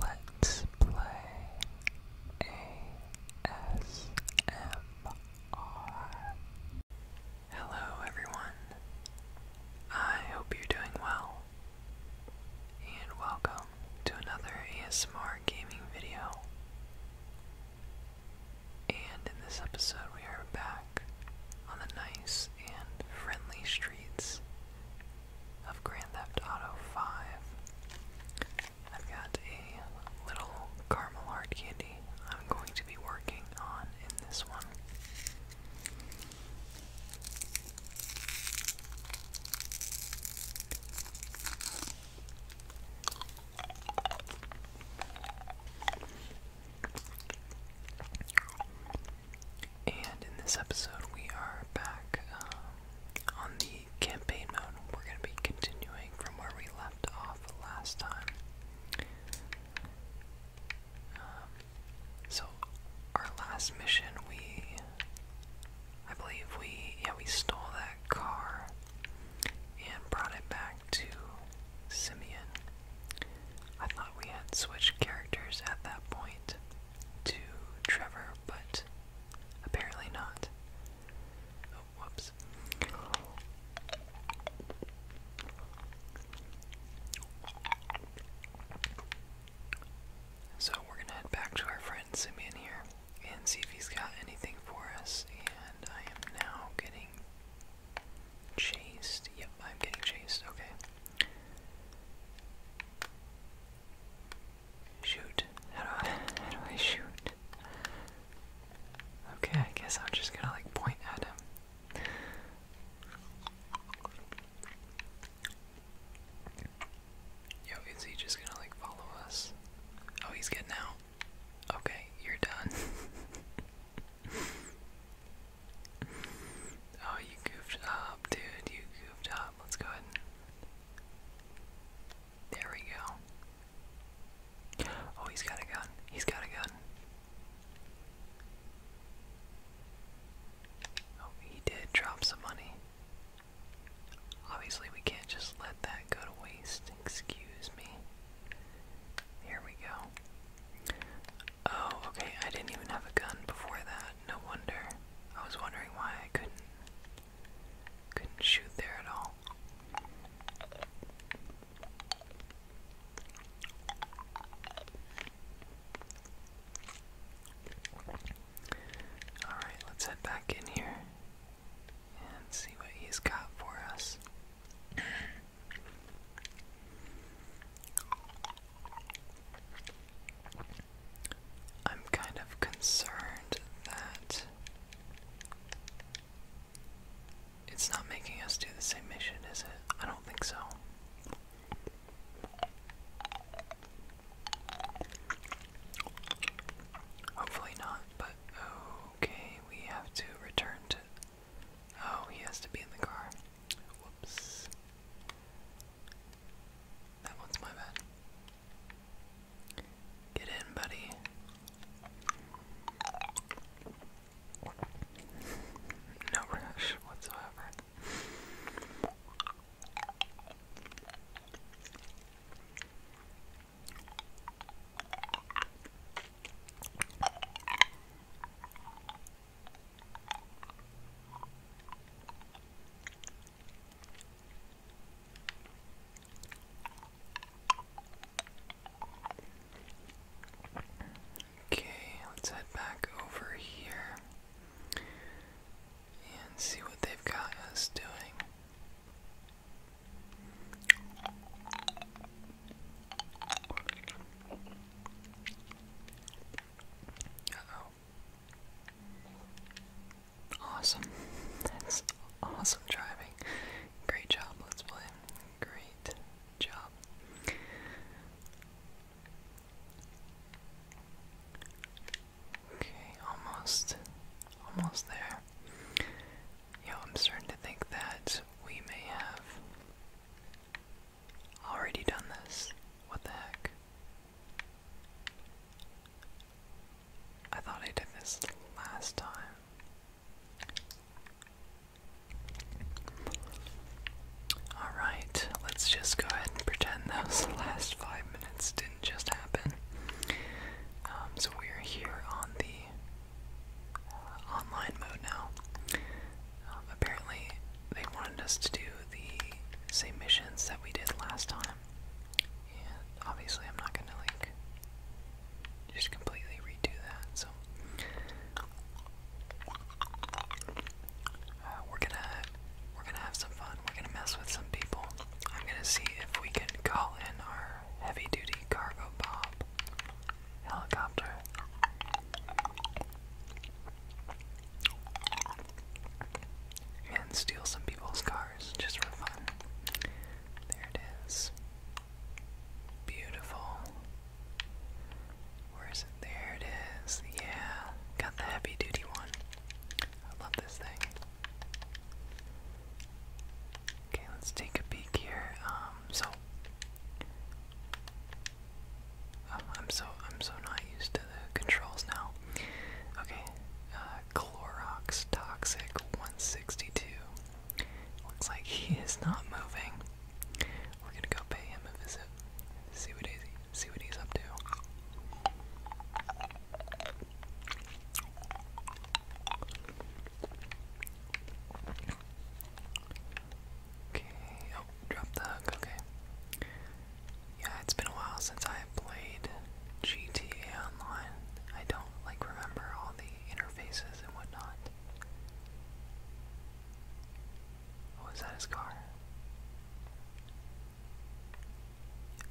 Let's play ASMR. Hello, everyone. I hope you're doing well. And welcome to another ASMR gaming video. And in this episode, we are back on the nice and friendly streets of Grand Theft Auto 5. I've got a little caramel hard candy I'm going to be working on in this one. And in this episode, we are back um, on the campaign mode. We're going to be continuing from where we left off last time. Um, so, our last mission, we. I believe we. Yeah, we stole that car and brought it back to Simeon. I thought we had switched characters at that point to Trevor, but apparently not. Oh, whoops. So we're gonna head back to our friend Simian here and see if he's got anything for us. And I am now getting chased. Yep, I'm getting chased. Okay. Shoot. How do I, shoot? Okay, I guess I'm just gonna like point at him. Yo, is he just gonna like follow us? Oh, he's getting out. Okay, you're done. oh, you goofed up, dude. You goofed Let's go ahead There we go. Oh, he's got a gun. He's got a gun. Oh, he did drop some money. Obviously, we can't just let that go to waste. Excuse me. Here we go. Oh, okay, I didn't even have a gun before that no wonder. I was wondering why I couldn't couldn't shoot there at all. Alright, let's head back in here and see what he's got for us. I'm kind of concerned that it's not making us do the same mission, is it? I don't think so. Hopefully not, but okay, we have to return to. Oh, he has to be in the car. Whoops. That one's my bed. Get in, buddy. no rush whatsoever. Okay, let's head back over here and see what they've got us doing. Awesome. That's awesome driving. Great job, Let's Play. Great job. Okay, almost. Almost there. Yo, I'm starting to think that we may have already done this. What the heck? I thought I did this last time. Alright, let's just go ahead and pretend those last five minutes didn't just happen. Um, so we're here on the uh, online mode now. Um, apparently, they wanted us to do the same missions that we did last time. obviously I'm not gonna like just completely redo that, so uh, we're gonna we're gonna have some fun. We're gonna mess with some people. I'm gonna see if we can call in our heavy duty cargo bob helicopter and steal some people's cars just for fun. There it is. Beautiful. Where is it? There it is. Yeah, got the heavy duty one. I love this thing. Okay, let's take a peek here. Um, so um, I'm so I'm so not used to the controls now. Okay, uh, Clorox Toxic 162. Looks like he is not moving. We're gonna go pay him a visit. See what he's see what he's up to. Okay. Oh, drop the hook. Okay. Yeah, it's been a while since I played GTA Online. I don't like remember all the interfaces and whatnot. Oh, is that his car?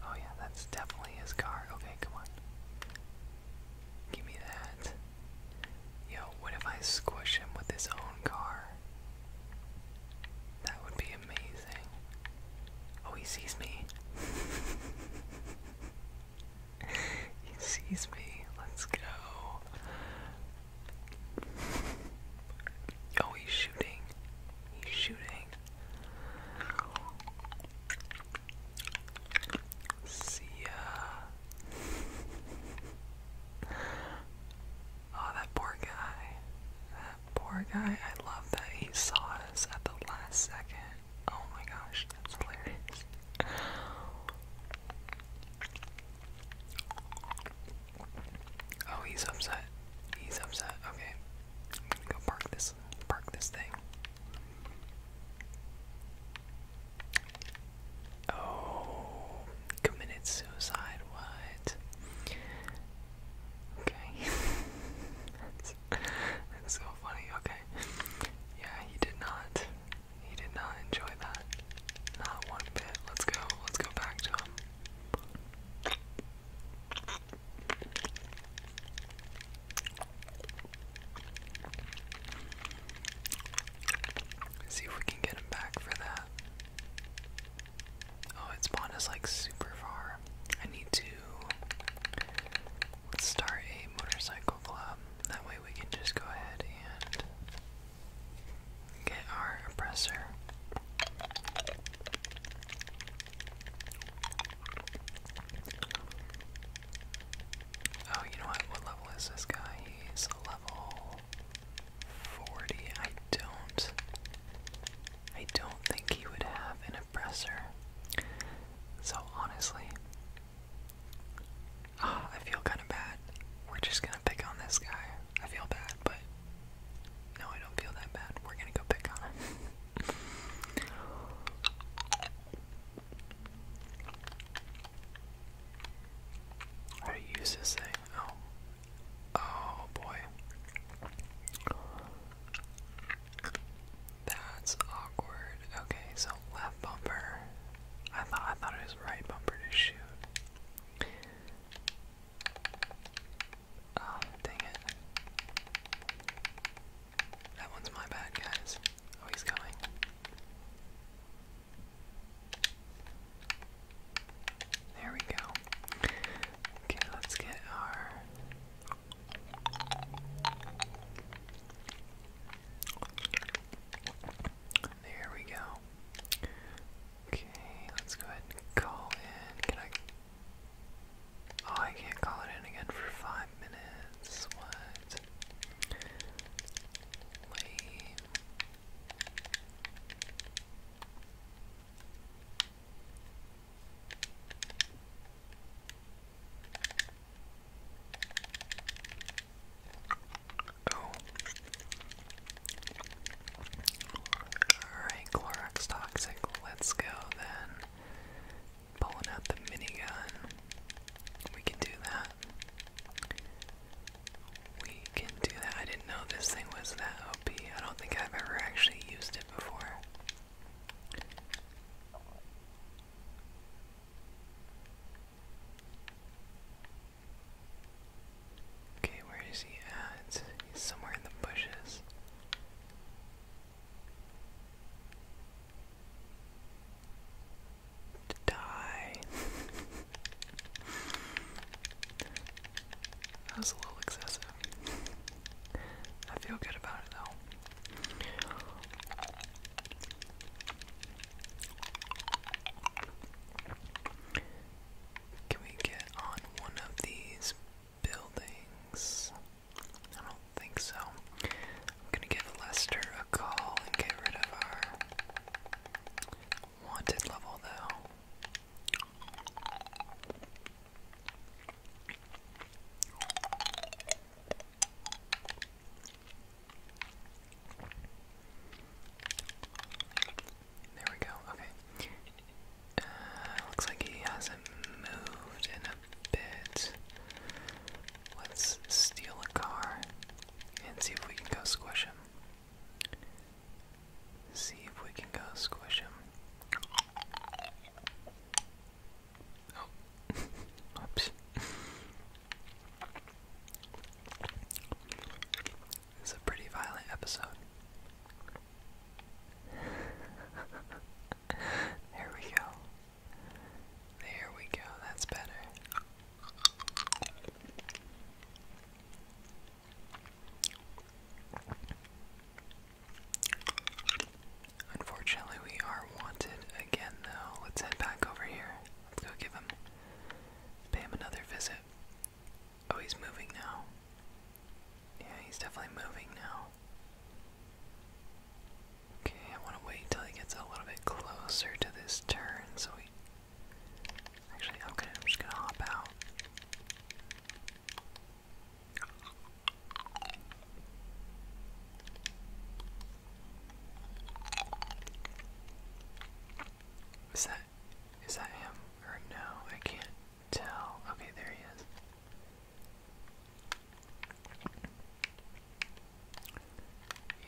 Oh yeah, that's definitely his car. Okay, come on. Give me that. Yo, what if I squish him with his own car? That would be amazing. Oh, he sees me. he sees me. Let's go. Oh, he's shooting. He's shooting. See ya. Oh, that poor guy. That poor guy. I love that he saw us at the last second. Oh my gosh, that's hilarious. Oh, he's upset. He's upset. Okay. I'm gonna go park this park this thing. Oh, committed suicide. What? Okay. that's, so funny. Okay. Yeah, he did not. He did not enjoy that. Not one bit. Let's go. Let's go back to him. See if we can get him back for that. Oh, its spawned is like super far. I need to start a motorcycle club. That way we can just go ahead and get our oppressor. Oh, you know what? What level is this guy? He's level 40. I don't. I don't think he would have an oppressor. So honestly, oh, I feel kind of bad. We're just gonna pick on this guy. I feel bad, but no, I don't feel that bad. We're gonna go pick on him. How do you use Oh, Oh boy. That's awkward. Okay, so left bumper. I thought I thought it was right bumper to shoot. Oh, dang it. That one's my bad, guys. Oh, he's coming. There we go. Okay, let's get our. There we go. Okay, let's go ahead and call in. Can I? Oh, I can't call it in again for five minutes. What? Lame. Oh. Alright, Clorox Toxic, let's go then. Pulling out the minigun. We can do that. We can do that. I didn't know this thing was that OP. I don't think I've ever actually used it before. Okay, where is he at? He's somewhere in the bushes. Die. That was a little excessive. I feel good about it though. Can we get on one of these buildings? I don't think so. I'm gonna give Lester a call and get rid of our wanted level though. There we go. Okay. Uh, looks like he hasn't moved in a bit. Let's steal a car and see if we can go squish him. See if we can go squish him. Oh, oops. It's a pretty violent episode. there we go. There we go. That's better. Unfortunately, we are wanted again, though. Let's head back over here. Let's go give him, pay him another visit. Oh, he's moving now. Yeah, he's definitely moving now. Okay, I want to wait till he gets a little bit closer to this turn so we Actually, okay, I'm just gonna hop out. Is that is that him or no? I can't tell. Okay, there he is.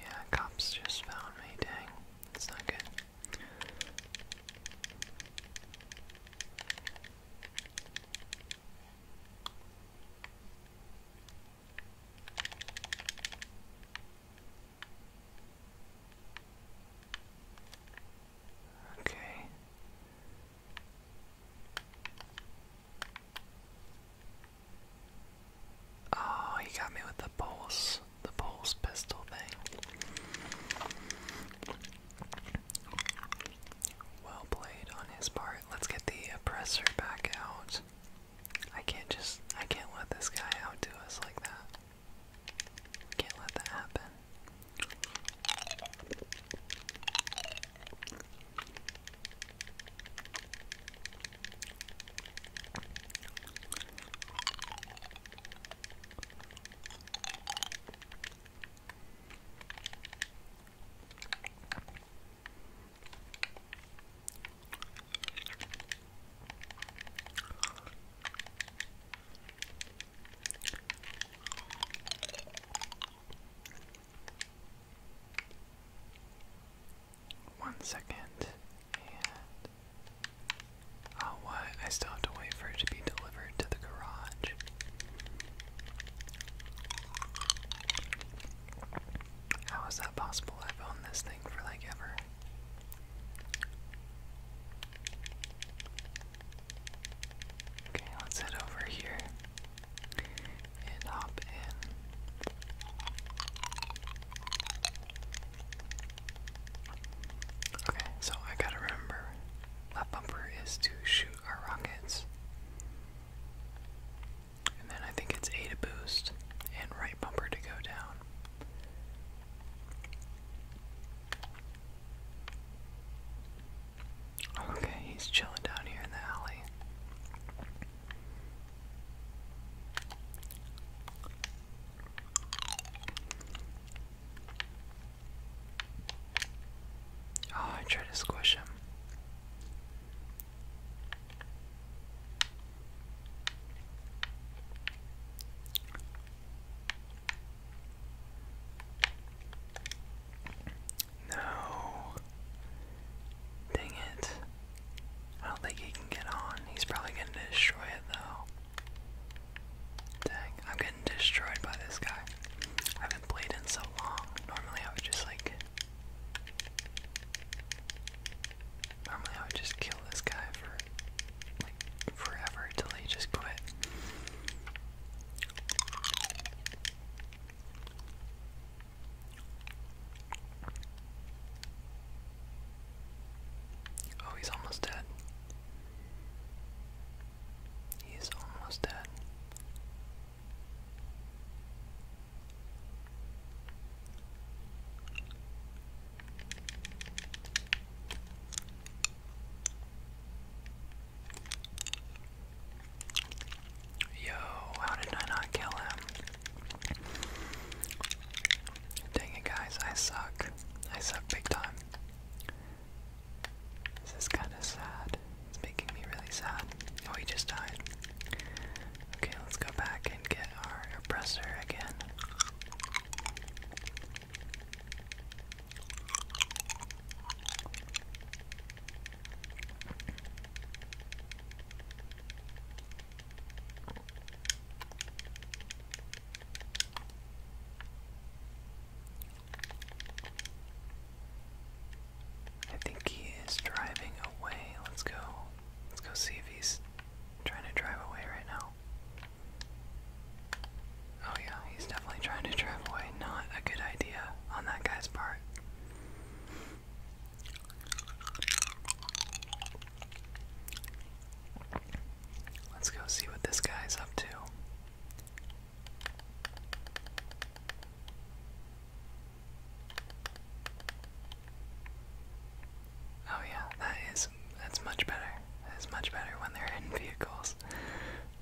Yeah, cops just found me. Dang, it's not good. Okay. Oh, he got me with the pulse the pulse pistol thing. Well played on his part. Let's get the oppressor back out. I can't just I can't let this guy outdo us like that. Can't let that happen. One second, and Oh, what? I still have to wait for it to be delivered to the garage. How is that possible? I've owned this thing for like ever. Okay, let's head over here and hop in. Okay, so I gotta remember left bumper is to shoot our rockets. And then I think it's A to boost and right bumper to go down. Okay, he's chilling down here in the alley. Oh, I tried to squish him. No. Dang it. I don't think he can get on. He's probably going to destroy it, though. Dang, I'm getting destroyed by this guy. I haven't played in so long. Normally I would just like Normally I would just kill this guy for like forever till he just quit. Oh, he's almost dead. He's almost dead. Yo, how did I not kill him? Dang it, guys, I suck. I suck big time. This is kind of sad. It's making me really sad. Oh, he just died. Okay, let's go back and get our oppressor again. I think he is driving away. Let's go. Let's go see if he's trying to drive away right now. Oh, yeah, he's definitely trying to drive away. Not a good idea on that guy's part. Let's go see what this guy's up to. Oh yeah, that is that's much better. That is much better when they're in vehicles.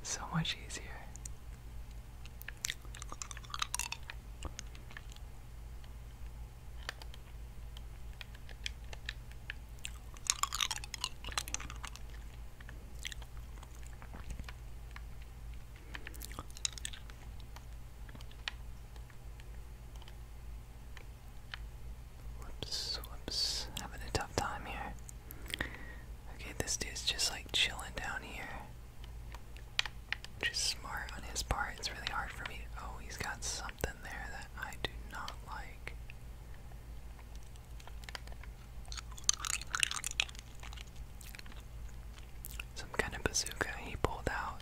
So much easier. Whoops, whoops. Having a tough time here. Okay, this dude's just like chilling down here. Which smart on his part. It's really hard for me. Oh, he's got something there that I do not like. Some kind of bazooka he pulled out.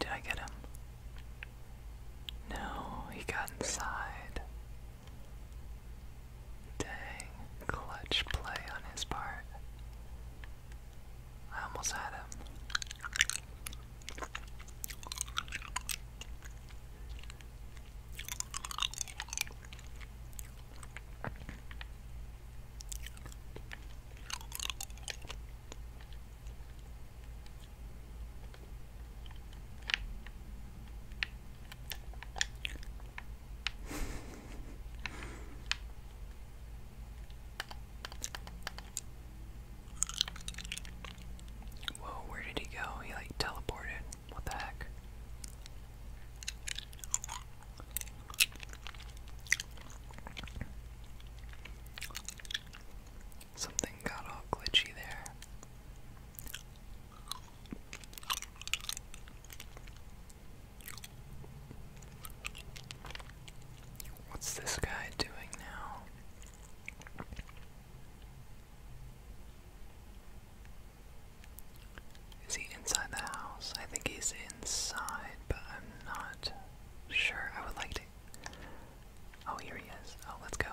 Did I get him? No, he got inside. Dang, clutch play on his part. I almost had him. Whoa, where did he go? He like teleported. What the heck? Something got all glitchy there. What's this guy doing now? Is he inside the house? I think he's inside, but I'm not sure. I would like to Oh, here he is. Oh, let's go.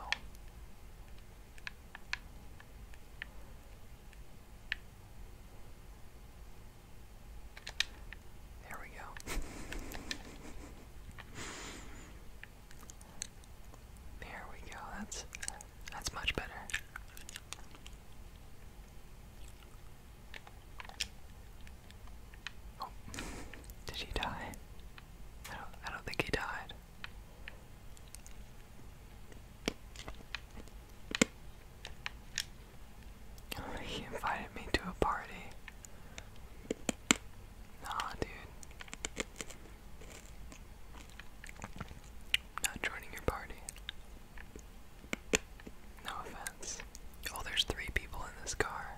There we go. there we go. That's that's much better. Oh. Did she die? I don't, think he died. He invited me to a party. Nah, dude. Not joining your party. No offense. Oh, there's three people in this car.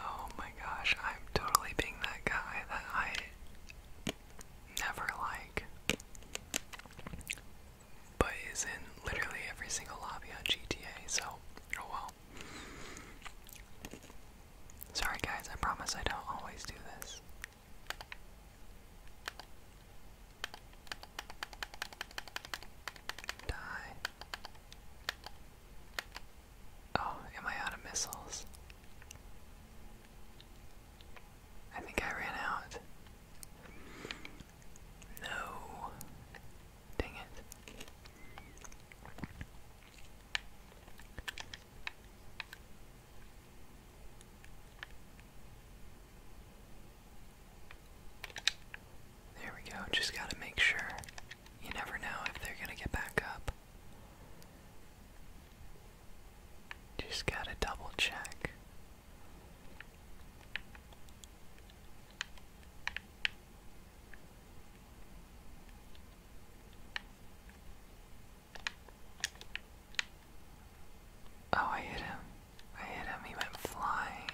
Oh my gosh, I'm totally being that guy that I never like, but is in literally every single lobby on GTA, so, oh well. Sorry guys, I promise I don't always do this. Die. Oh, am I out of missiles? I think I ran out. No. Dang it. There we go. Just got to make sure you never know if they're gonna get back up. Just gotta double check. Oh, I hit him. I hit him. He went flying.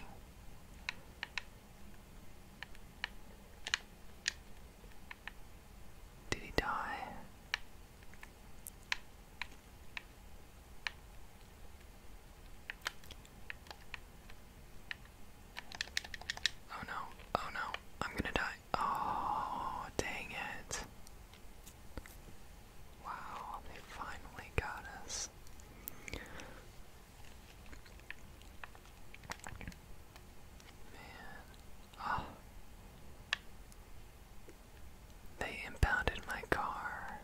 Did he die? Oh no, oh no, I'm gonna die. Oh, dang it. Wow, they finally got us. Man. Ah. They impounded my car.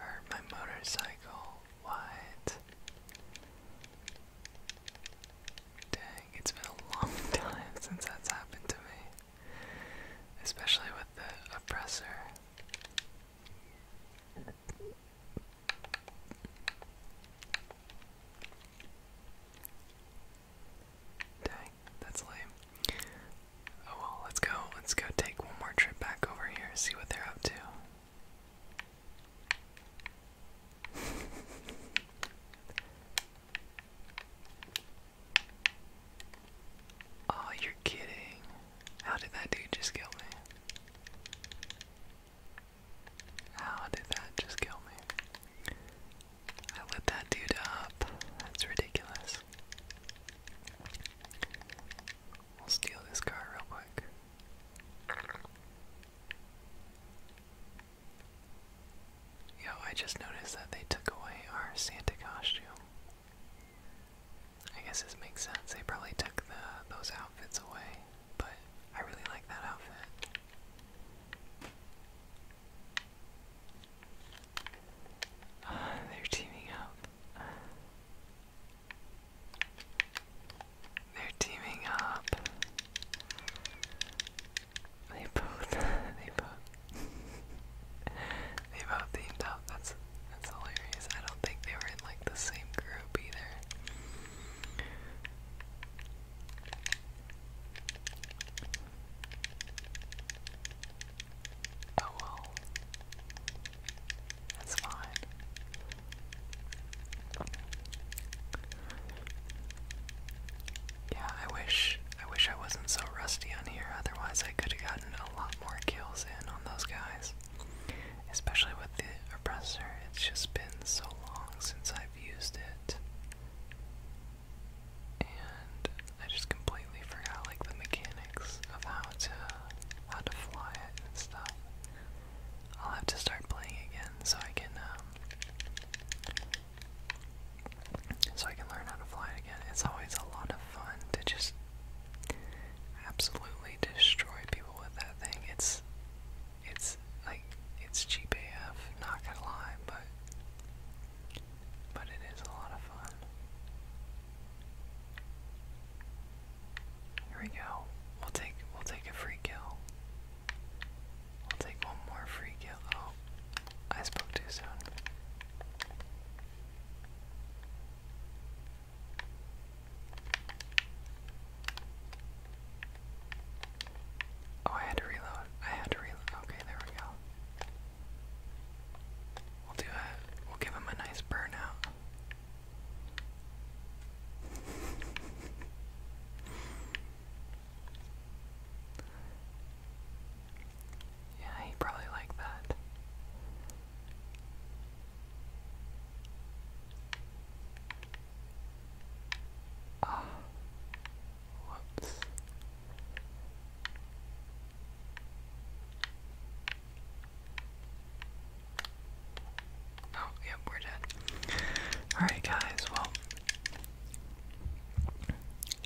Or my motorcycle. What? Dang, it's been a long time since that's happened to me. Especially with the oppressor. Dang, that's lame. Oh well, let's go. Let's go take one more trip back over here, see what they're up to. oh, you're kidding. How did that dude just kill me? How oh, did that just kill me? I lit that dude up. That's ridiculous. We'll steal this car real quick. Yo, I just noticed that they took away our Santa costume. I guess this makes sense. They probably took those outfits away, but I really like that outfit. Uh, they're teaming up. They're teaming up. They both. they both. they both teamed up. That's that's hilarious. I don't think they were in like the same group either. Oh well. That's fine. Yeah, I wish I wish I wasn't so rusty on here, otherwise I could have gotten a lot more kills in on those guys. Especially with the oppressor. It's just been so long since I've I've used it. And I just completely forgot like the mechanics of how to how to fly it and stuff. I'll have to start playing again so I can um so I can learn how to fly it again. It's always a lot of fun to just absolutely destroy people with that thing. It's it's like it's cheap AF, not gonna lie, but but it is a lot of fun. Here we go. We'll take we'll take a free kill. We'll take one more free kill. Oh, I spoke too soon. Oh, I had to reload. I had to reload. Okay, there we go. We'll do a. We'll give him a nice burnout. Yeah, he probably liked that. Ah, whoops. Oh, yep, we're dead. Alright, guys, well,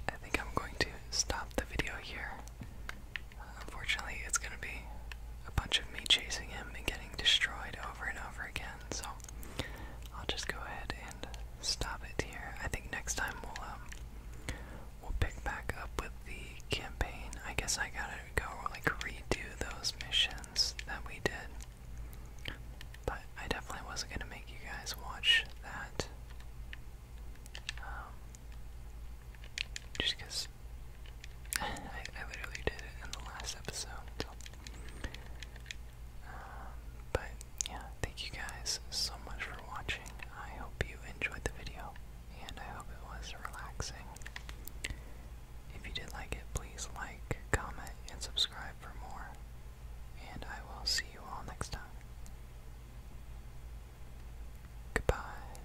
I think I'm going to stop the video here. unfortunately, it's going to be a bunch of me chasing him and getting destroyed over and over again, so I'll just go ahead and stop it here. I think next time we'll um, we'll pick back up with the campaign. I guess I gotta go like redo those missions that we did. But I definitely wasn't gonna make you guys watch that. Um, I, literally did it in the last episode. Um, but yeah, thank you guys so much for watching. I hope you enjoyed the video, and I hope it was relaxing. If you did like it, please like, comment, and subscribe for more. And I will see you all next time. Goodbye.